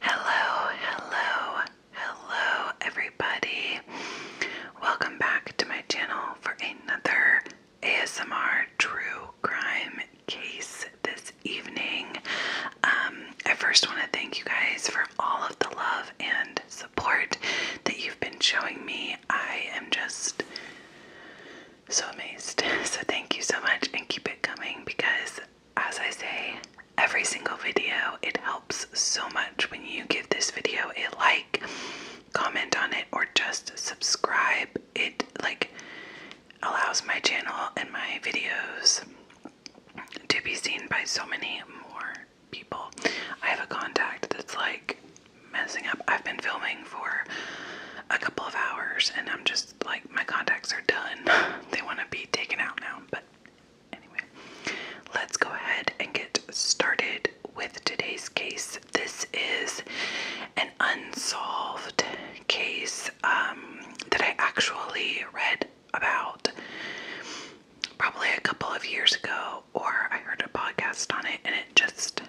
Hello, hello, hello, everybody. Welcome back to my channel for another ASMR true crime case this evening. Um, I first want to thank you guys for all of the love and support that you've been showing me. I am just so amazed. So, thank you so much and keep it coming because as I say every single video, it helps so much when you give this video a like, comment on it, or just subscribe. It like allows my channel and my videos to be seen by so many more people. I have a contact that's like messing up. I've been filming for a couple of hours and I'm just like my contacts are done. they want to be taken out now. But anyway, let's go ahead and get started with today's case. This is an unsolved case um, that I actually read about probably a couple of years ago, or I heard a podcast on it, and it just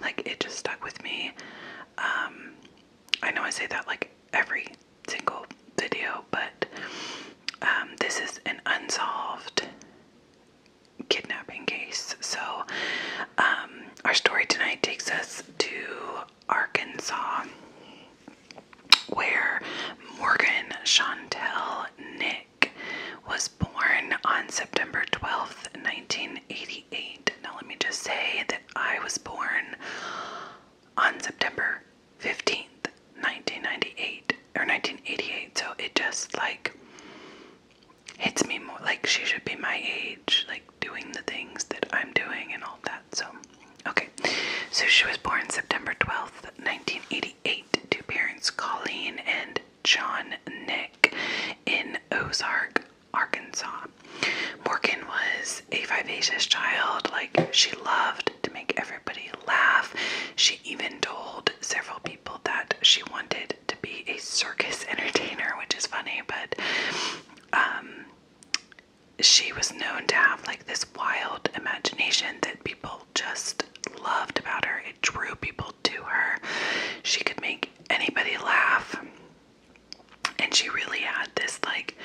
like it just stuck with me. Um, I know I say that like every single video, but um, this is an unsolved kidnapping case. So, um, our story tonight takes us to Arkansas, where Morgan Chantel Nick was born on September 12th, 1988. Now, let me just say that I was born on September 15th, 1998 or 1988. So it just like hits me more like she should be my age, like doing the things that I'm doing and all that. So, okay. So she was born September 12th, 1988 to parents Colleen and John Nick in Ozark, Arkansas. Morgan was a vivacious child. Like, she loved to make everybody laugh. She even told several people that she wanted to be a circus entertainer, which is funny, but um, she was known to have like this wild imagination that people just loved about her. It drew people to her. She could make anybody laugh. And she really had this like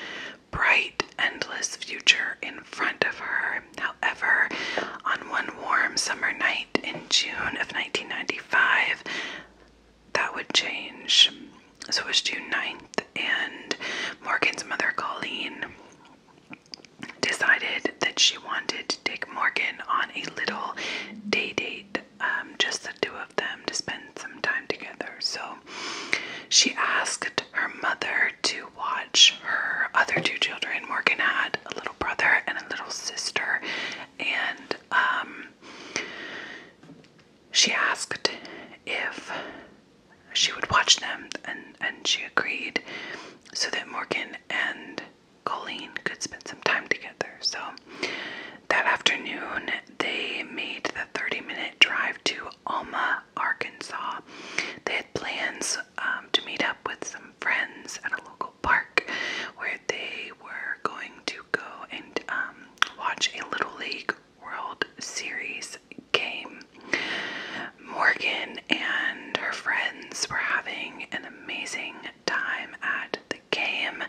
bright, endless future in front of her. However, on one warm summer night in June of 1995, that would change. So it was June 9th, and Morgan's mother, Colleen, decided that she wanted to take Morgan on a little day date, um, just the two of them to spend some time together. So she asked her mother to watch her other two children. Morgan had a little brother and a little sister, and um, she asked if she would watch them, and, and she agreed so that Morgan and Colleen could spend some time together. So that afternoon, they made the 30 minute drive to Alma, Arkansas. They had plans um, to meet up with some friends at a local park where they were going to go and um, watch a Little League World Series game. Morgan and her friends were having an amazing time at the game,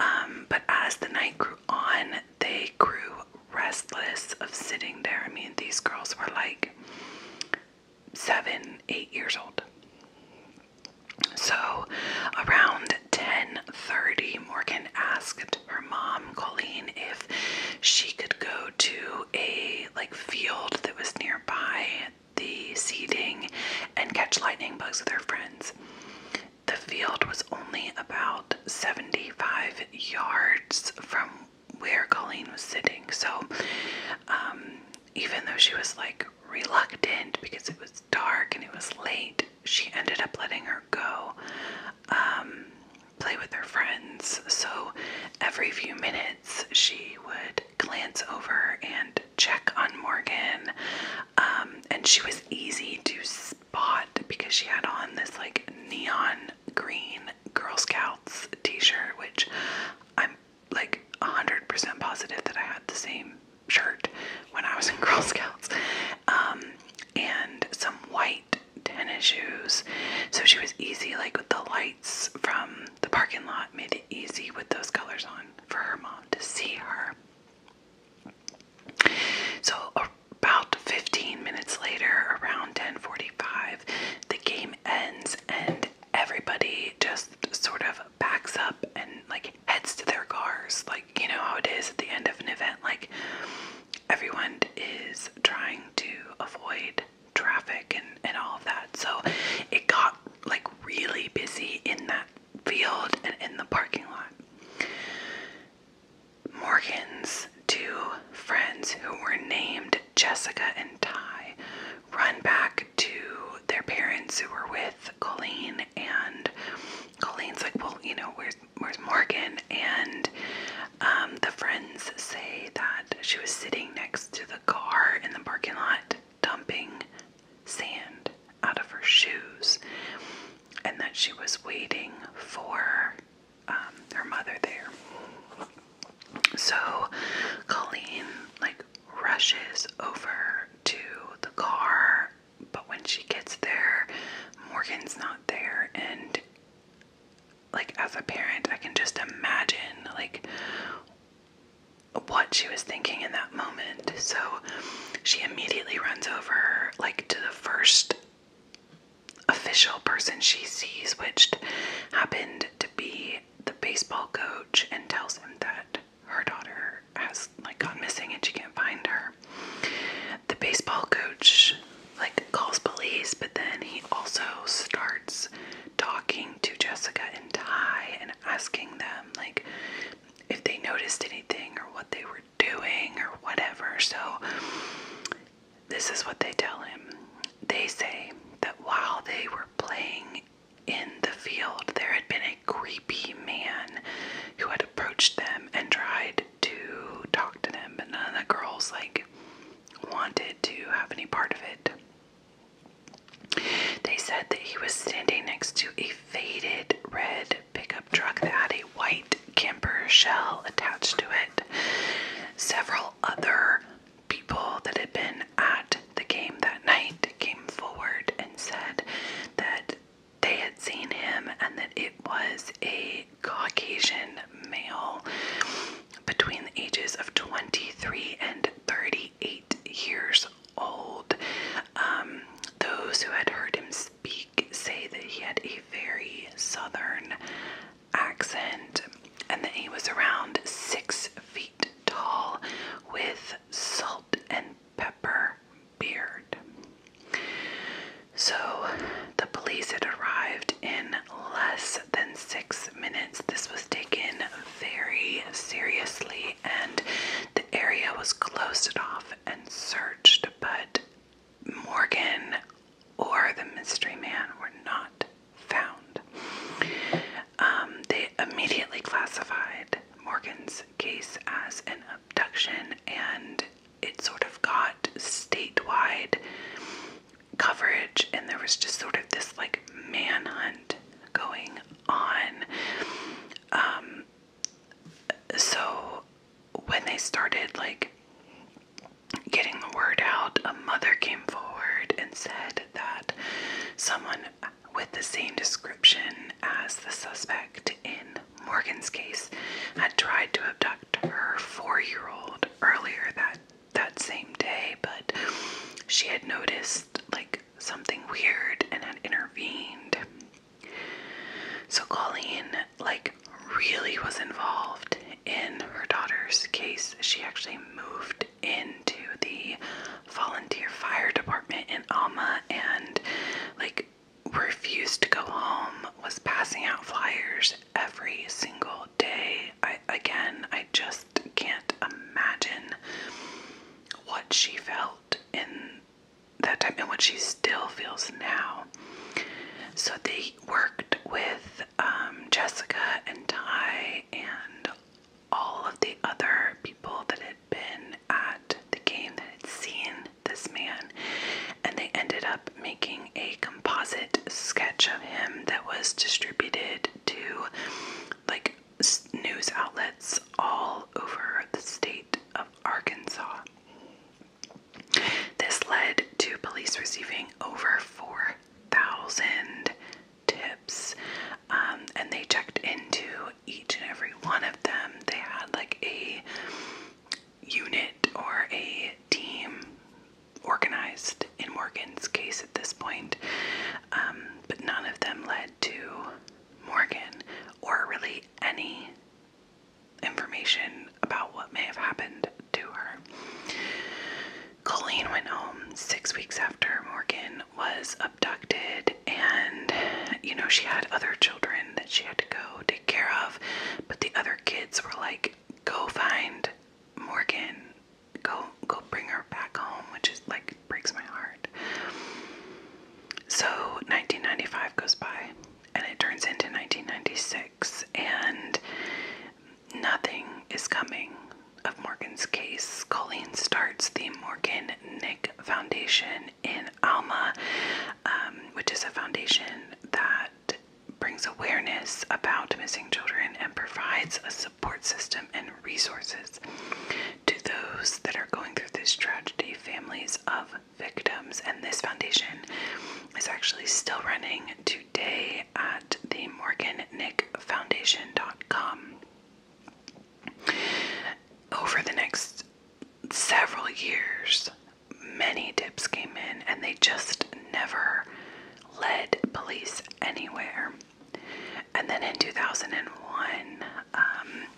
um, but as the night grew on, they grew restless of sitting there. I mean, these girls were like seven, eight years old. So around 10:30, Morgan asked her mom, Colleen, if she could go to a like field that was nearby the seating and catch lightning bugs with her friends. The field was only about 75 yards from where Colleen was sitting. So, um, even though she was like reluctant because it was dark and it was late, she ended up letting her go um, play with her friends. So, every few minutes, she would glance over and check on Morgan, um, and she was easy to spot because she had on this like neon green Girl Scouts t shirt, which I'm like 100% positive that I had the same shirt when I was in Girl Scouts. Um, and some white tennis shoes. So she was easy, like with the lights from the parking lot, made it easy with those colors on for her mom to see her. So about 15 minutes later, around 10:45, the game ends and everybody just sort of backs up and like heads to their cars. Like, you know how it is at the end of an event like everyone is trying to avoid traffic and and all of that. So it got like really busy in that field and in the parking lot. Morgan's two friends who were named Jessica and Ty run back to their parents who were with Colleen and Colleen's like, well, you know, where's where's Morgan? And um, the friends say that she was sitting next to the car in the parking lot dumping sand out of her shoes, and that she was waiting for um, her mother there. So Colleen, like, rushes over to the car, but when she gets there, Morgan's not there. And, like, as a parent, I can just imagine, like, what she was thinking in that moment. So she immediately runs over, like, to the first official person she sees, which happened to be the baseball coach, and tells him that her daughter has like gone missing and she can't find her. The baseball coach like calls police, but then he also starts talking to Jessica and Ty and asking them like if they noticed anything or what they were doing or whatever. So, this is what they tell him. They say that while they were playing in the field, there had been a creepy man who had approached them and tried to talk to them, but none of the girls, like, wanted to have any part of it. They said that he was standing next to a faded red pickup truck that had a white camper shell attached to it. Several other people that had been at the game that night came forward and said that they had seen him and that it was a Caucasian male between the ages of 23 and 38 years old. Um, those who had heard him speak say that he had a very southern accent and that he was around six feet tall with salt and pepper beard. So the police had arrived in less than six minutes. This was taken very seriously and the area was closed off and searched, but Morgan or the mystery man were not found. Um, they immediately classified Morgan's case as an abduction, and it sort of got statewide coverage, and there was just sort of this like manhunt going on. Um, so when they started like getting the word out, a mother came forward and said that someone with the same description as the suspect in Morgan's case had tried to abduct her four-year-old earlier that that same day, but she had noticed like something weird and had intervened. So Colleen, like, really was involved in her daughter's case. She actually moved into the volunteer fire department in Alma and, like, refused to go home, was passing out flyers every single day. I, again, I just can't imagine what she felt in that time and what she still feels now. So they worked with um, Jessica and Ty and all of the other people that had been at the game that had seen this man, and they ended up making a composite sketch of him that was distributed to like news outlets all over the state of Arkansas. This led to police receiving over 4,000 tips, um, and they checked into each and every one of them. They had like a unit or a team organized in Morgan's case at this point, um, but none of them led to Morgan or really any information about what may have happened to her. Colleen went home six weeks after Morgan was abducted, and you know, she had other children that she had to go take care of, but the other kids were like, Go find Morgan, go go bring her back home, which is like breaks my heart. So 1995 goes by and it turns into 1996 and nothing is coming of Morgan's case. Colleen starts the Morgan Nick Foundation in Alma, um, which is a foundation that brings awareness about missing children and provides a support system and resources to those that are going through this tragedy, families of victims, and this foundation is actually still running today at the morgannickfoundation.com. Over the next several years, many tips came in, and they just never led police anywhere. And then in 2001, um,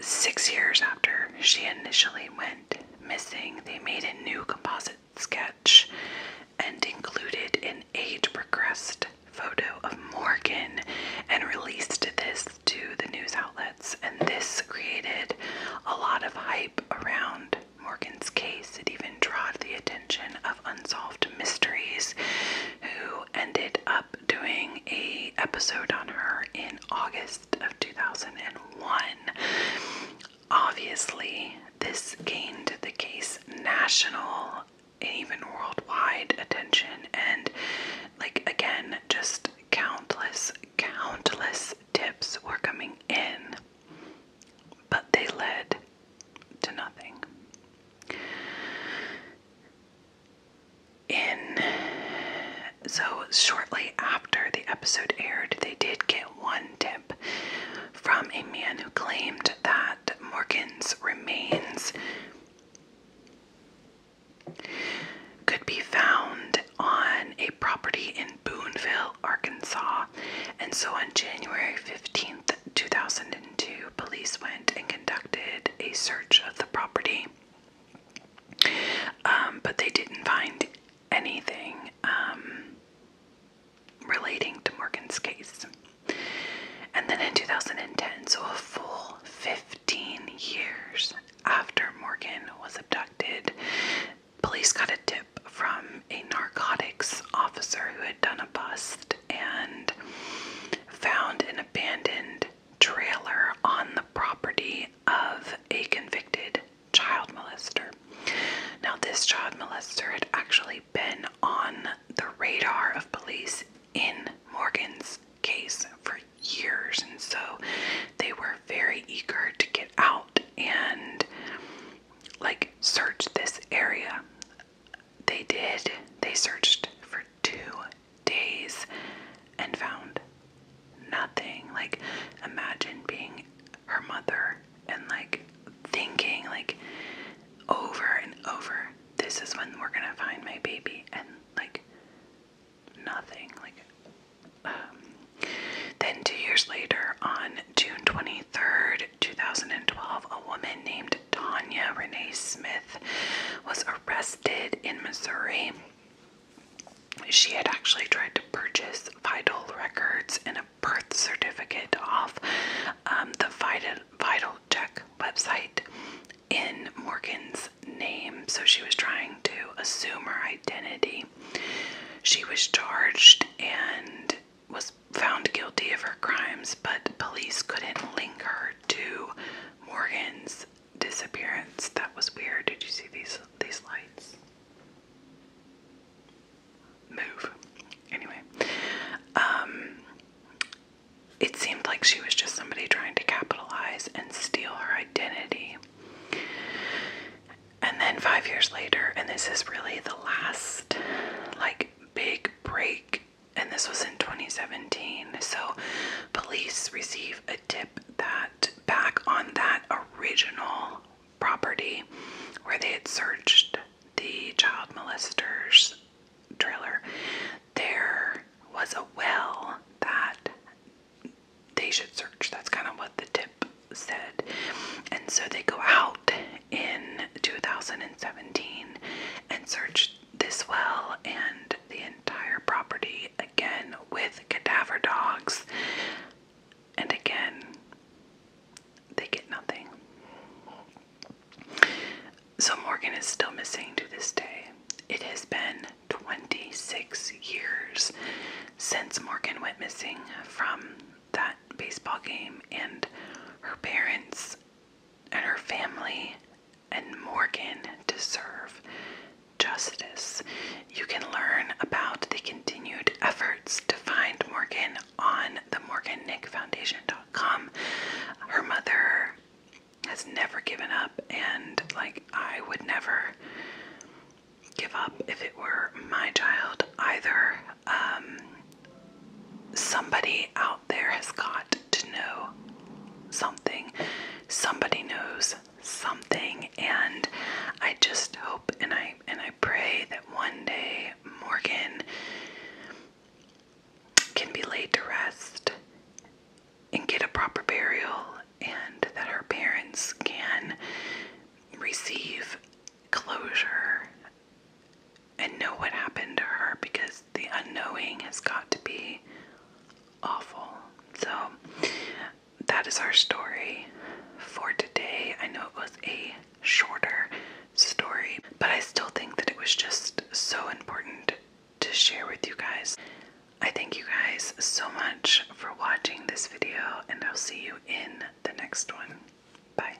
Six years after she initially went missing, they made a new composite sketch and included an age progressed photo of Morgan and released this to the news outlets. And this created a lot of hype around Morgan's case. It even drew the attention of Unsolved Mysteries, who ended up doing a episode on her in August of 2001. Obviously, this gained the case national and even worldwide attention and like again just countless countless tips were coming in but they led to nothing in so shortly after the episode aired, they did get one tip from a man who claimed that Morgan's remains could be found on a property in Booneville, Arkansas. And so on January 15th, 2002, police went and conducted a search of the property, um, but they didn't find anything um, relating to Morgan's case. And then in 2010, so a full 15 years after Morgan was abducted, police got a tip from a narcotics officer who had done a bust and found an abandoned trailer on the property of a convicted child molester. Now, this child molester had actually been on the radar of police in Morgan's case for years, and so they were very eager to get out and like search this area they did. They searched for two days and found nothing. Like, imagine being her mother and like thinking, like, over and over, this is when we're gonna find my baby, and like, nothing. Like, um, then two years later, on June 23rd, 2012, a woman named named Tanya Renee Smith was arrested in Missouri. She had actually tried to purchase vital records and a birth certificate off um, the vital, vital Check website in Morgan's name, so she was trying to assume her identity. She was charged and was found guilty of her crimes, but police couldn't link her to Morgan's disappearance. That was weird. Did you see these these lights? Move. Anyway, um, it seemed like she was just somebody trying to capitalize and steal her identity. And then five years later, and this is really the last like big break and this was in 2017. So, police receive a tip that back on that original property where they had searched the child molester's trailer, there was a well that they should search. That's kind of what the tip said. And so they go out in 2017 and searched this well and the entire property again with cadaver dogs. And again, they get nothing. So Morgan is still missing to this day. It has been 26 years since Morgan went missing from that baseball game, and her parents and her family and Morgan deserve justice. You can learn about the continued efforts to find Morgan on the morgannickfoundation.com. Her mother has never given up and like I would never give up if it were my child either um, somebody out there has got to know something. Somebody knows something, and I just hope and I and I pray that one day Morgan can be laid to rest and get a proper burial, and that her parents can receive closure and know what happened to her because the unknowing has got to be awful. So, that is our story for today. I know it was a shorter story, but I still think that it was just so important to share with you guys. I thank you guys so much for watching this video, and I'll see you in the next one. Bye.